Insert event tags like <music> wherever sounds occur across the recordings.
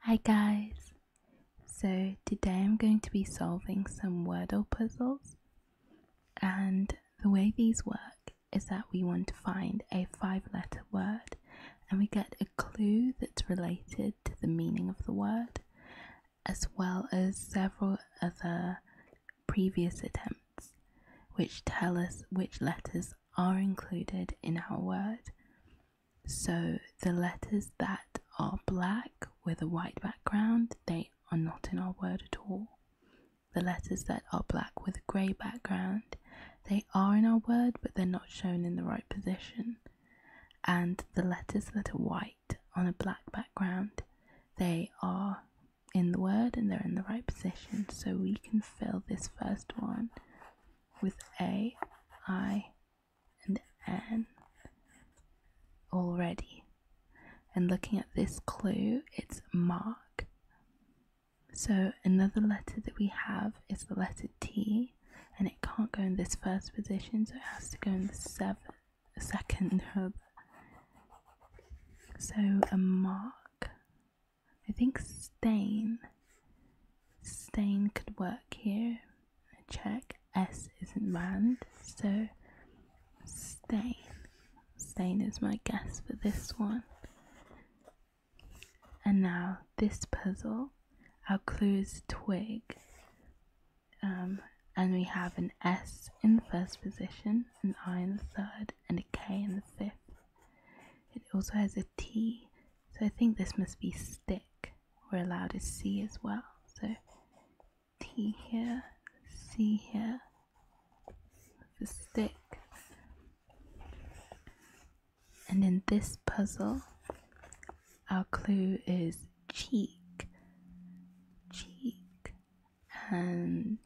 Hi guys! So today I'm going to be solving some Wordle puzzles and the way these work is that we want to find a five letter word and we get a clue that's related to the meaning of the word as well as several other previous attempts which tell us which letters are included in our word so the letters that are black with a white background, they are not in our word at all. The letters that are black with a grey background, they are in our word but they're not shown in the right position. And the letters that are white on a black background, they are in the word and they're in the right position. So we can fill this first one with A, I, and N already. And looking at this clue, it's mark. So another letter that we have is the letter T, and it can't go in this first position, so it has to go in the seventh, second hub. <laughs> So a mark. I think stain. Stain could work here check. S isn't round, so stain. Stain is my guess for this one. And now this puzzle, our clue is twig. Um, and we have an S in the first position, an I in the third, and a K in the fifth. It also has a T, so I think this must be stick we're allowed to see as well. So T here, C here, the stick. And in this puzzle, our clue is cheek, cheek, and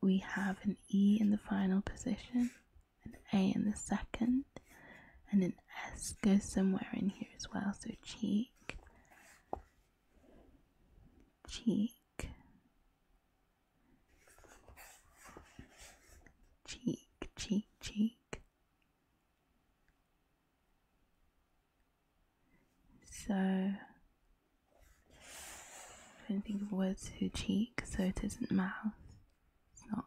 we have an E in the final position an A in the second, and an S goes somewhere in here as well. So cheek, cheek, cheek, cheek, cheek. So I'm trying to think of words who cheek, so it isn't mouth. It's not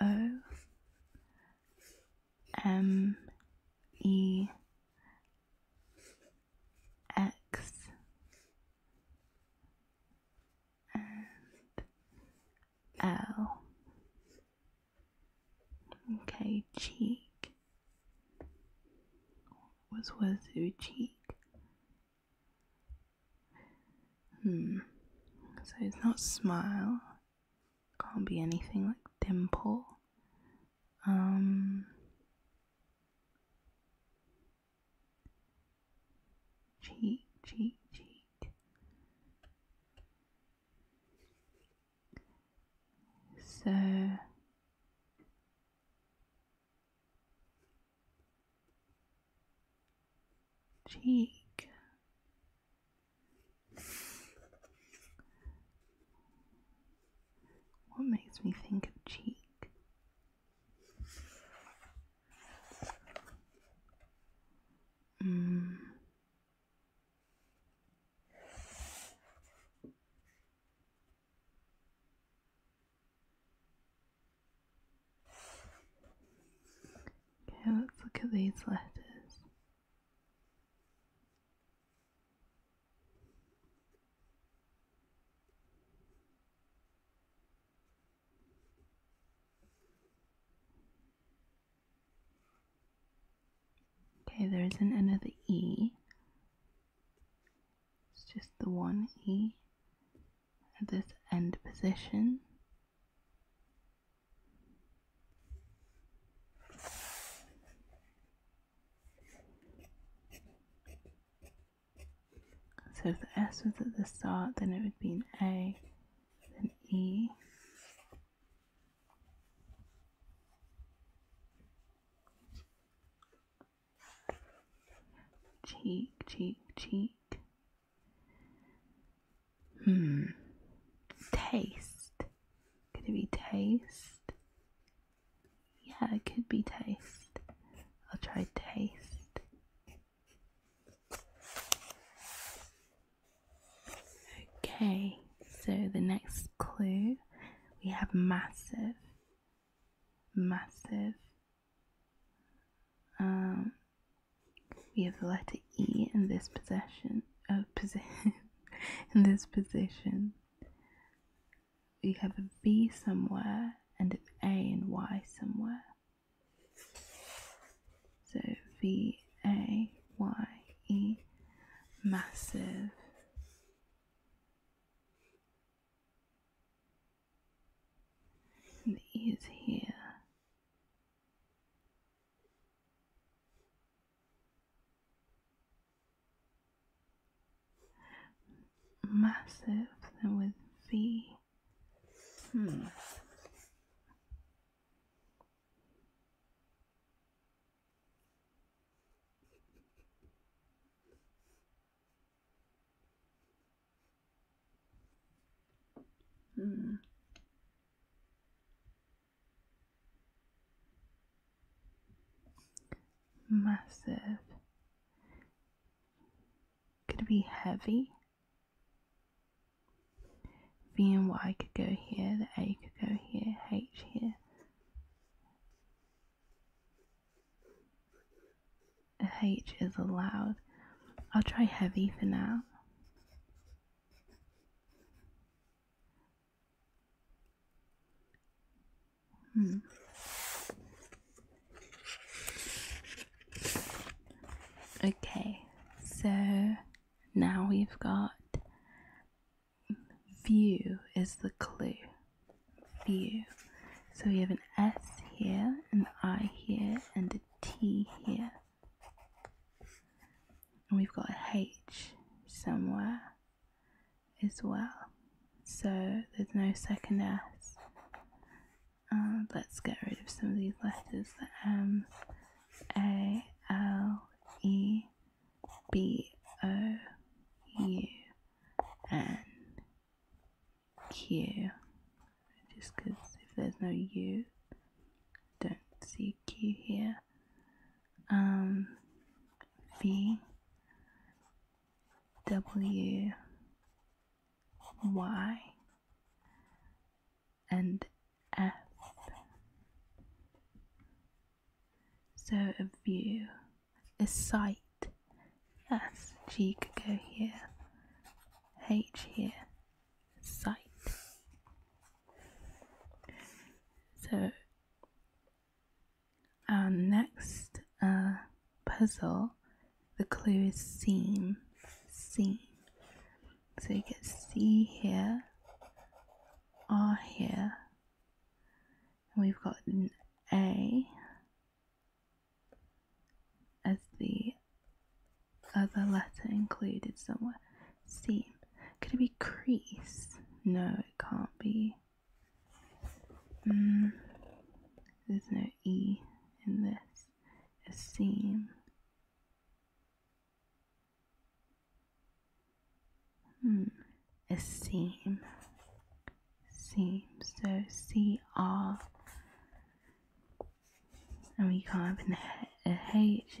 O M E X and L. Okay, cheek. What was your cheek? Hmm. So it's not smile. Can't be anything like dimple. Um. Cheek, cheek, cheek. So. Cheek. What makes me think of cheek? Mm. Okay, let's look at these letters. Okay, there isn't another E. It's just the one E at this end position. So if the S was at the start, then it would be an A, then E. Cheek, cheek, cheek. Hmm. Taste. Could it be taste? Yeah, it could be taste. I'll try taste. Okay, so the next clue we have massive. Massive. Um, we have the letter E in this possession of uh, position <laughs> in this position. We have a V somewhere and an A and Y somewhere. So V A Y E massive And E is here. Massive then with V. Hmm. Hmm. Massive. Could it be heavy? V and Y could go here, the A could go here, H here. A H is allowed. I'll try heavy for now. Hmm. Okay, so now we've got view is the clue. View. So we have an S here, an I here, and a T here and we've got a H somewhere as well so there's no second S uh, let's get rid of some of these letters the M A L E B O U N Q just because if there's no U don't see Q here. Um, v W Y and F. So a view, a sight. S G could go here. H here, sight. So, our next uh, puzzle, the clue is seam. Seam. So you get C here, R here, we've got A as the other letter included somewhere. Seam. Could it be crease? No, it can't be. Mm, there's no E in this. A seam. Hmm. A seam. Seam. So C R. And oh, we can't have an H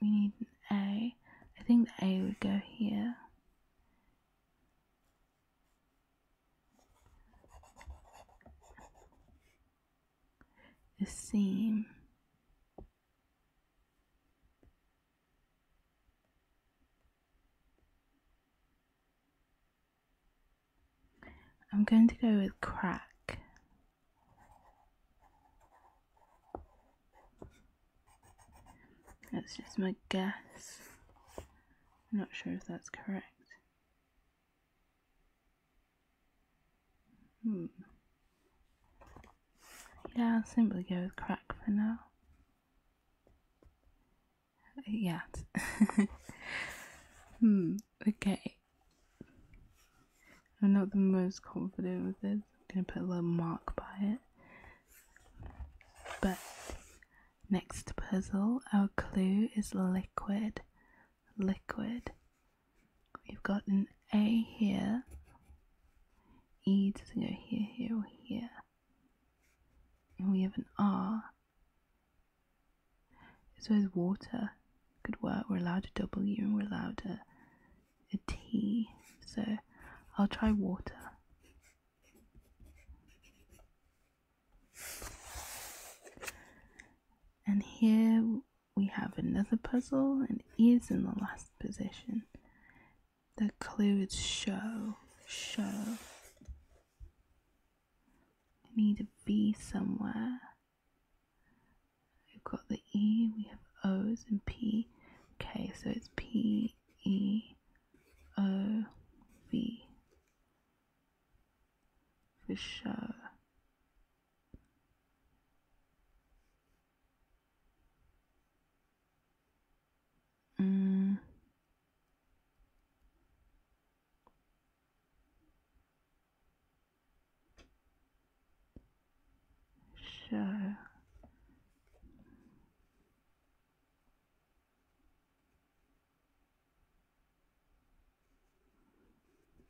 we need an A. I think the A would go here. The seam. I'm going to go with crack. That's just my guess. I'm not sure if that's correct. Hmm. Yeah, I'll simply go with crack for now. Yeah. <laughs> hmm, okay. I'm not the most confident with this. I'm gonna put a little mark by it. But next puzzle, our clue is liquid. Liquid. We've got an A here. E doesn't go here, here, or here. And we have an R. So is water. Good work. We're allowed a W and we're allowed a a T. so I'll try water. And here we have another puzzle and is in the last position. The clue is show, show. I need a V somewhere. We've got the E, we have O's and P. Okay, so it's P T E O V for sure. Mm. Sure.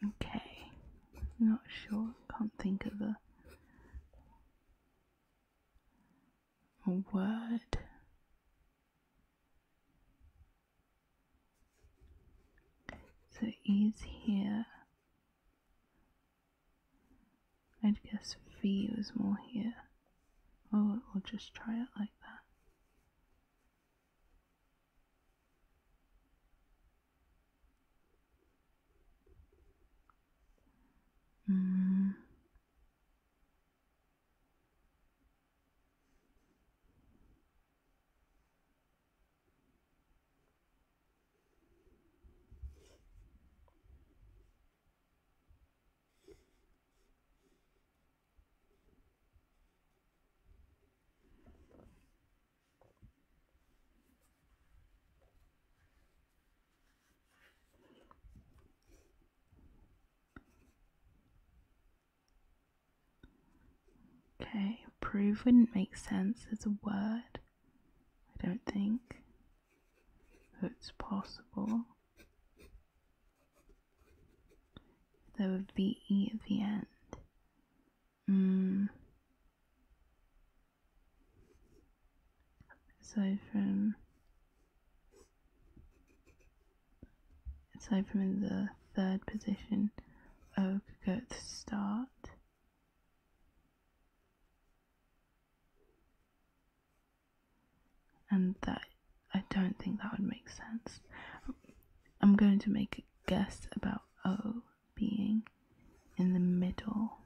okay not sure can't think of a, word so is here I'd guess V was more here. Oh, we'll just try it like that. Mm. Okay, approve wouldn't make sense as a word, I don't think. It's possible. there would be E at the end. Mm. Aside from aside from in the third position, O could go to the start and that I don't think that would make sense. I'm going to make a guess about O being in the middle.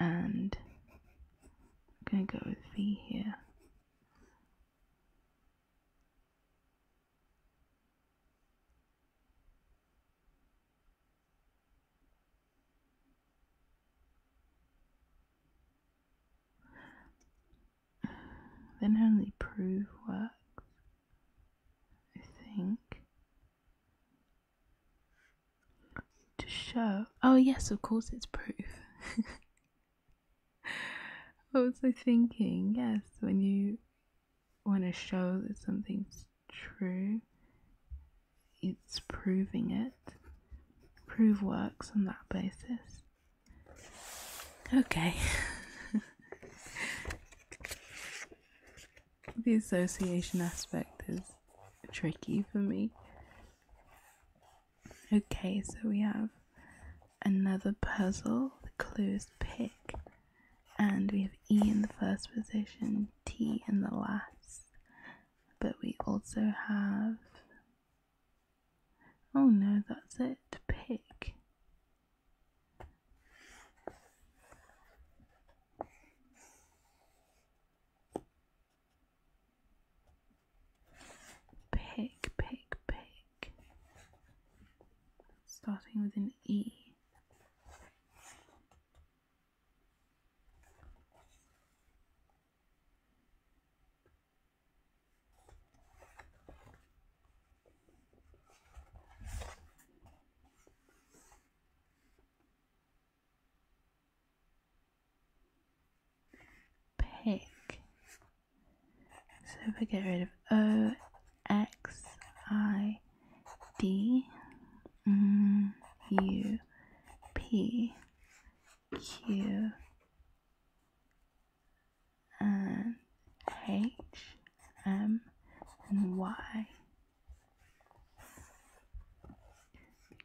And I'm going to go with V here. Then only proof works, I think. To show. Oh, yes, of course it's proof. <laughs> what was I thinking? Yes, when you want to show that something's true, it's proving it. Prove works on that basis. Okay. <laughs> the association aspect is tricky for me. Okay, so we have another puzzle. The clue is pick. And we have E in the first position, T in the last. But we also have. Oh no, that's it. Pick. Pick, pick, pick. Starting with an E pick. So if we get rid of O, X, I, D, M, mm, U, P, Q, and and Y.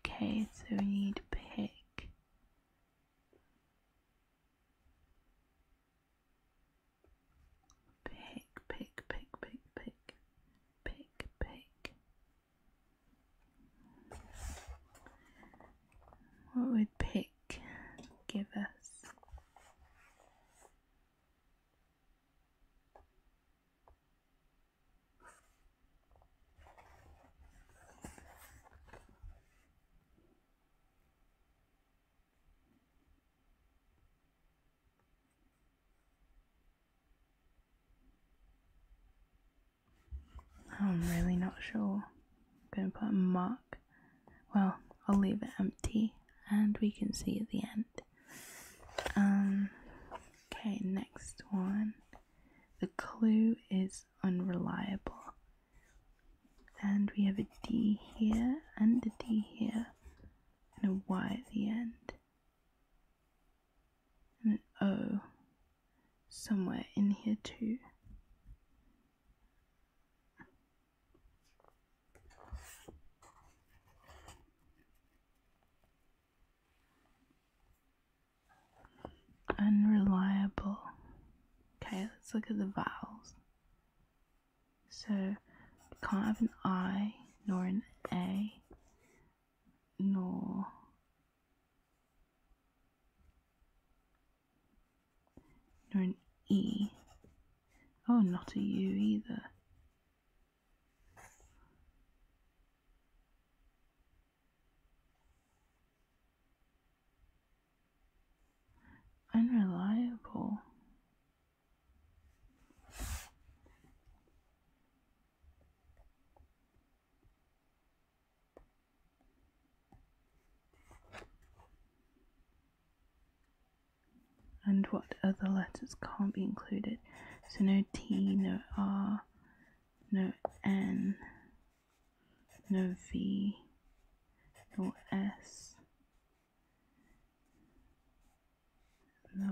Okay, so we need pick. Pick, pick, pick, pick, pick, pick, pick. What would pick give us? I'm really not sure. I'm going to put a mark. Well, I'll leave it empty and we can see at the end. Um, okay, next one. The clue is unreliable. And we have a D here and a D here and a Y at the end. And an O somewhere in here too unreliable. Okay, let's look at the vowels. So, you can't have an I, nor an A, nor nor an E. Oh, not a U either. Unreliable. And what other letters can't be included? So no T, no R, no N no V, no S, no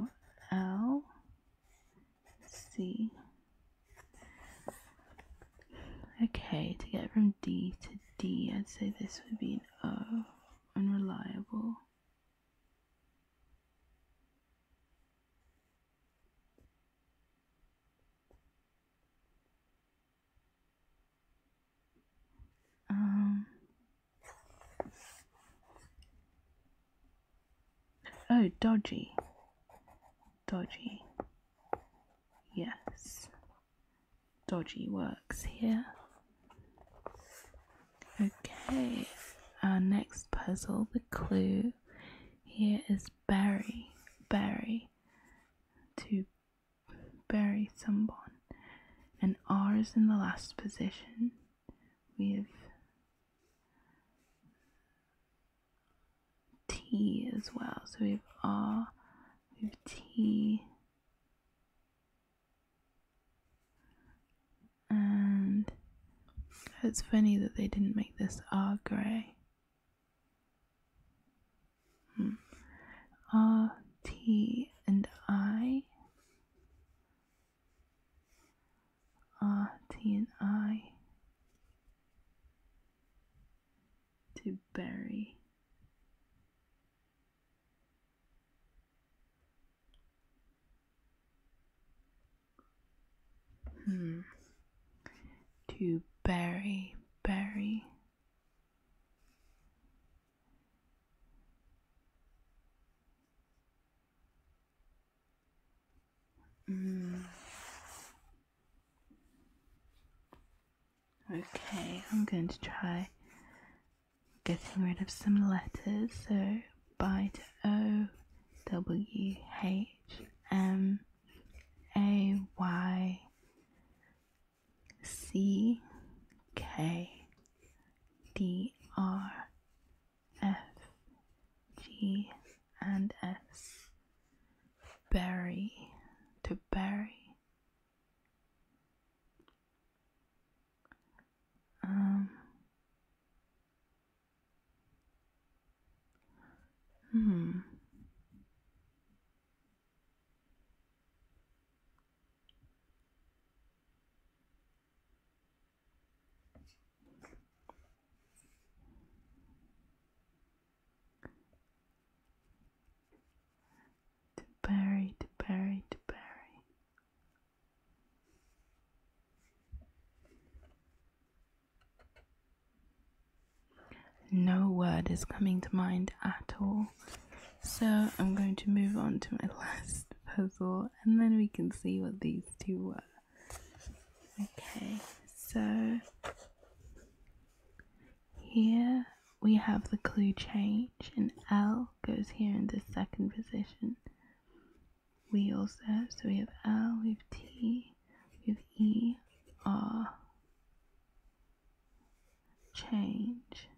L, C. Okay, to get from D to D, I'd say this would be unreliable. Um, oh, dodgy. Dodgy. Yes. Dodgy works here. Okay, our next puzzle, the clue here is Barry. Barry to bury someone, and R is in the last position We have T as well. So we have R, we have T. And it's funny that they didn't make this R grey. R, hmm. uh, T, and I. R, uh, T, and I. To bury. Hmm to bury, bury. Mm. Okay, I'm going to try getting rid of some letters. So, bite O W H M a Y C K D R F G and S Berry to bury. Um, Hmm. To bury, to bury, to bury. No word is coming to mind at all. So I'm going to move on to my <laughs> last puzzle and then we can see what these two were. Okay, so here we have the clue change and L goes here in the second position. We also, so we have L, we have T, we have E R change.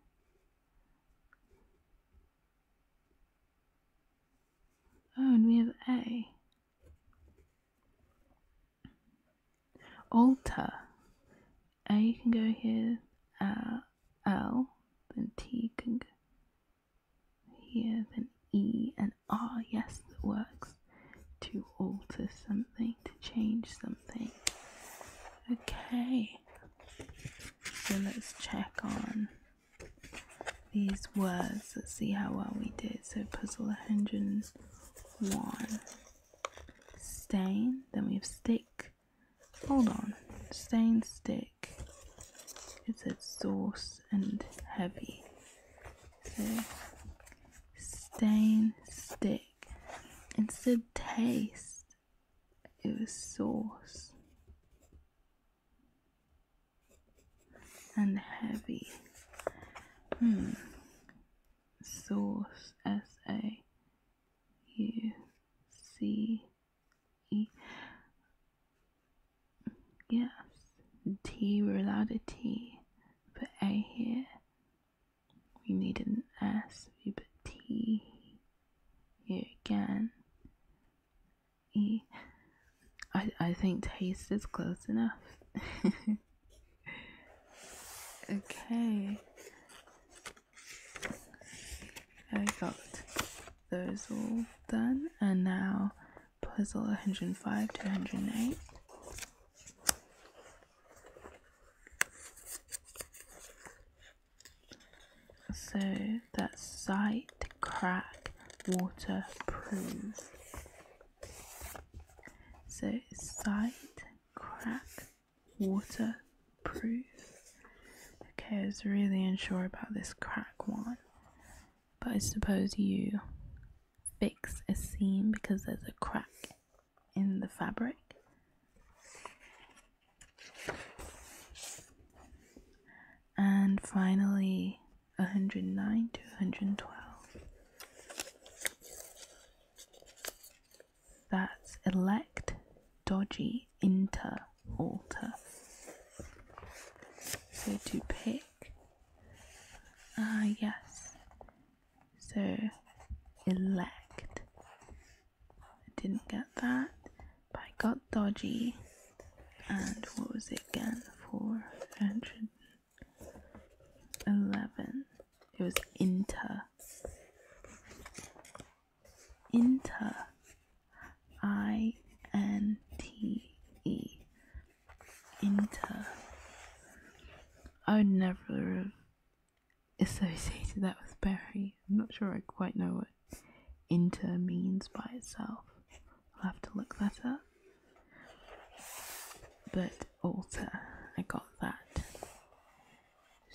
Oh, and we have A. Alter. A can go here, uh, L, then T can go here, then E and R. Yes, that works to alter something, to change something. Okay, so let's check on these words. Let's see how well we did. So, puzzle 101 stain, then we have stick. Hold on, stain, stick. It said sauce and heavy stain stick. Instead, taste. It was sauce. And heavy. Hmm. Sauce. S A U C E. Yes. T. We're allowed a T. Put A here we need an S, we put T here again. E. I, I think taste is close enough. <laughs> okay. I got those all done and now puzzle 105 to 108 so that's sight crack waterproof so sight crack waterproof okay I was really unsure about this crack one but I suppose you fix a seam because there's a crack in the fabric. And finally, 109 to 112. That's elect dodgy inter alter. So to pick, ah, uh, yes, so elect. I didn't get that, but I got dodgy. And what was it again? 411. It was inter. Inter. I N T E. Inter. I would never have associated that with berry. I'm not sure I quite know what inter means by itself. I'll have to look that up. But alter, I got that.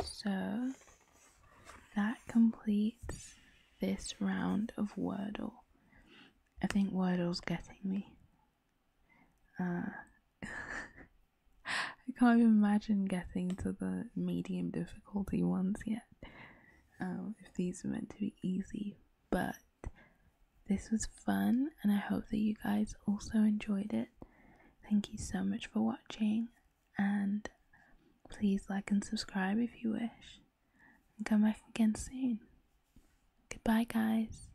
So that completes this round of Wordle. I think Wordle's getting me. Uh, <laughs> I can't even imagine getting to the medium difficulty ones yet. Um, if these are meant to be easy, but this was fun, and I hope that you guys also enjoyed it. Thank you so much for watching, and please like and subscribe if you wish. And come back again soon. Goodbye, guys.